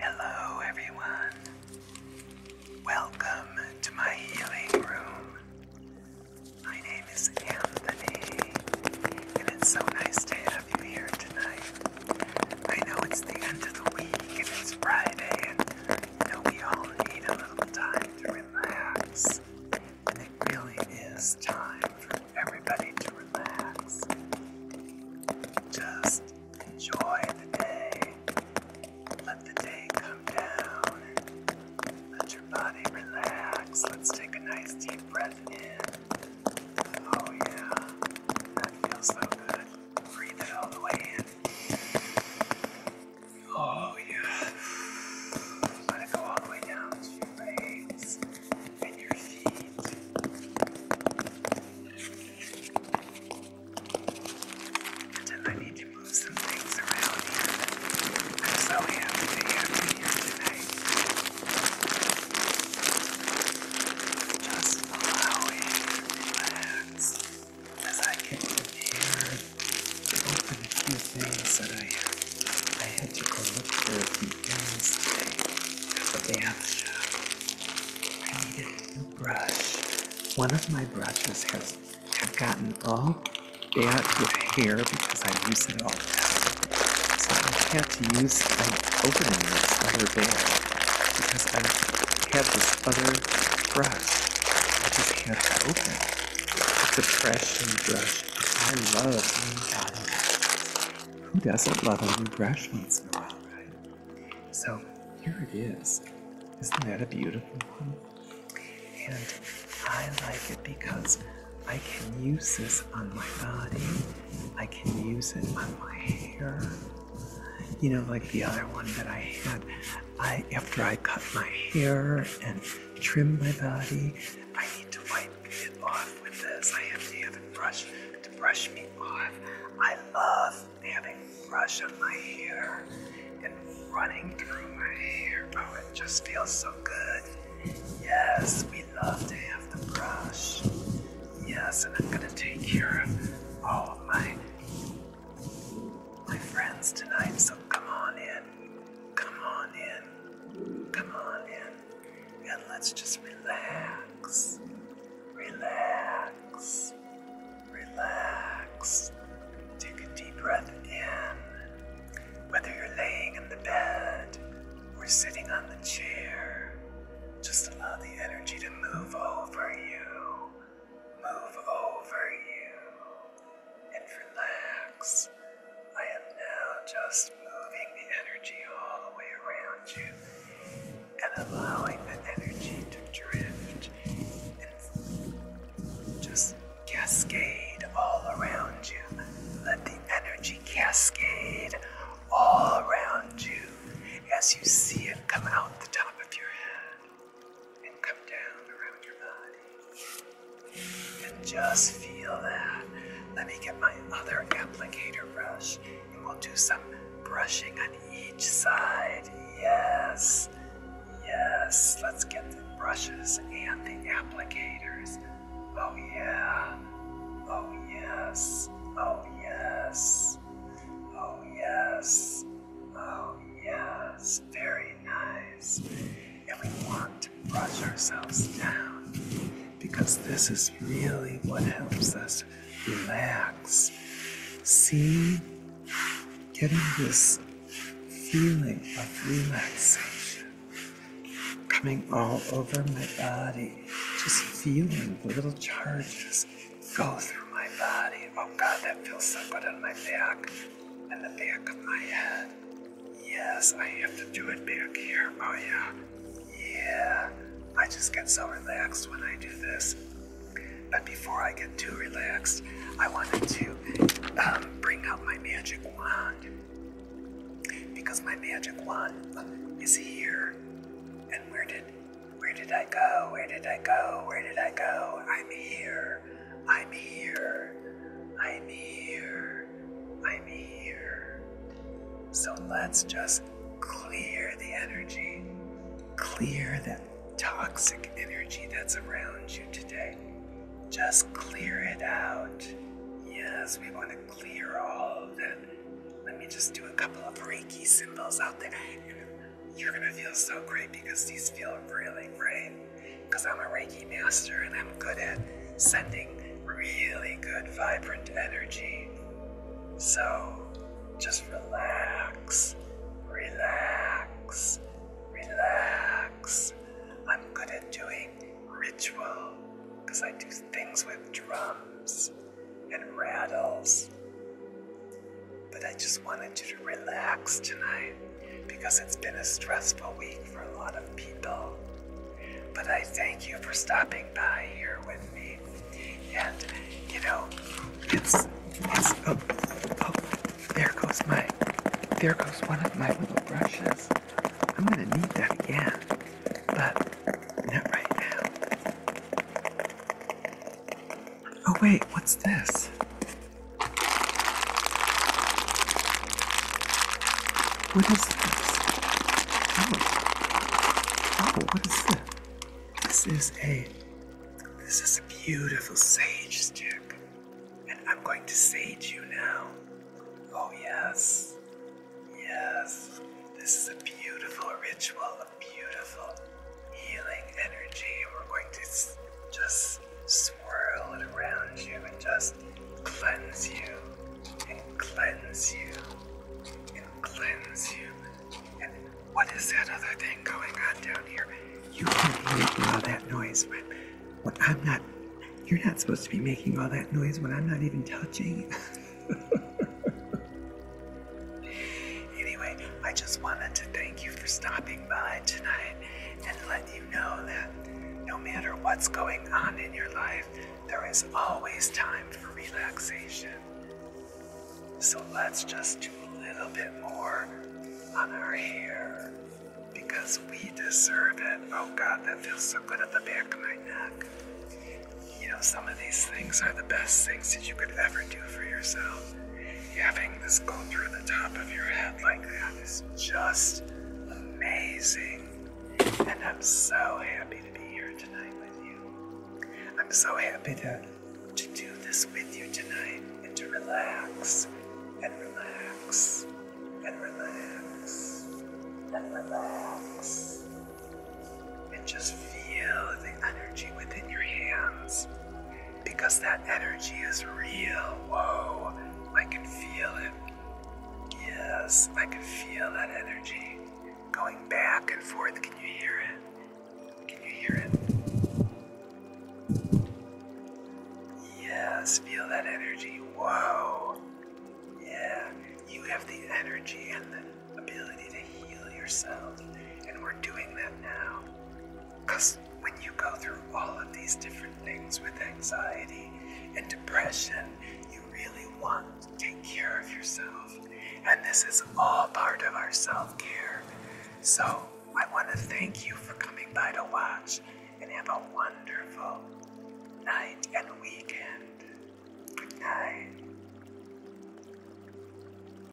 Hello, everyone. Welcome to my healing room. My name is Anthony, and it's so nice to have you here tonight. I know it's the end of the week, and it's Friday, and you know, we all need a little time to relax. It really is time for everybody to relax. Just enjoy the day. Let the day come down. Let your body relax. Let's take a nice deep breath in. Oh, yeah. That feels so good. Breathe it all the way in. Oh, yeah. Let it go all the way down to your legs. And I need to move some around here. I'm so to have here tonight. Just allow it relax as I can hear. Open a few things that I I had to go look for I need a new brush. One of my brushes has gotten all bad with hair because I use it all the time. So I had to use an opening this other bag because I have this other brush. I just had to open. It's a fresh new brush. I love avocado. Who doesn't love a new brush once in a while, right? So here it is. Isn't that a beautiful one? And I like it because I can use this on my body. I can use it on my hair. You know, like the other one that I had, I after I cut my hair and trim my body, I need to wipe it off with this. I have to have it brushed to brush me off. I love having brush on my hair and running through my hair. Oh, it just feels so good. Yes, we love to have the brush. Yes, and I'm gonna take care of all of my my friends tonight. So come on in, come on in. Come on in and let's just relax. Relax. Relax. Take a deep breath in. Whether you're laying in the bed or sitting on the chair, just allow the energy to move over you. Move over you and relax. I am now just moving the energy all the way around you and allowing the energy to drift and just cascade all around you. Let the energy cascade all around you as you see it come out the top of your head and come down around your body just feel that. Let me get my other applicator brush and we'll do some brushing on each side. Yes. Yes. Let's get the brushes and the applicators. Oh, yeah. Oh, yes. Oh, yes. Oh, yes. Oh, yes. Very nice and we want to brush ourselves down because this is really what helps us relax. See, getting this feeling of relaxation coming all over my body, just feeling the little charges go through my body. Oh God, that feels so good on my back and the back of my head. Yes, I have to do it back here. Oh, yeah. Yeah. I just get so relaxed when I do this. But before I get too relaxed, I wanted to um, bring out my magic wand. Because my magic wand is here. And where did where did I go? Where did I go? Where did I go? I'm here. I'm here. I'm here. I'm here. So let's just clear the energy. Clear the toxic energy that's around you today. Just clear it out. Yes, we want to clear all of that. Let me just do a couple of Reiki symbols out there. You're going to feel so great because these feel really great because I'm a Reiki master and I'm good at sending really good, vibrant energy. So just relax, relax, relax. I'm good at doing ritual because I do things with drums and rattles. But I just wanted you to relax tonight because it's been a stressful week for a lot of people. But I thank you for stopping by here with me. And, you know, it's, it's, oh, oh, there goes my, there goes one of my little brushes. I'm gonna need that again, but not right now. Oh wait, what's this? What is this? Oh. oh. what is this? This is a this is a beautiful sage stick. And I'm going to sage you now. Oh yes. Yes. This is a beautiful ritual, a beautiful healing energy. We're going to just swirl it around you and just cleanse you and cleanse you and cleanse you. And what is that other thing going on down here? You can't all that noise when, I'm not. You're not supposed to be making all that noise when I'm not even touching. Anyway, I just wanted to thank you for stopping by tonight and let you know that no matter what's going on in your life, there is always time for relaxation. So let's just do a little bit more on our hair because we deserve it. Oh God, that feels so good at the back of my neck. You know, some of these things are the best things that you could ever do for yourself having this go through the top of your head like that is just amazing. And I'm so happy to be here tonight with you. I'm so happy to, to do this with you tonight and to relax and relax and relax and relax and just feel the energy within your hands because that energy is real. Whoa, I can feel it. Yes, I can feel that energy going back and forth. Can you hear it? Can you hear it? Yes, feel that energy. Whoa. Yeah, you have the energy and the ability to heal yourself, and we're doing that now. Because when you go through all of these different things with anxiety and depression, you really want to take care of yourself. And this is all part of our self care. So I want to thank you for coming by to watch and have a wonderful night and weekend. Good night.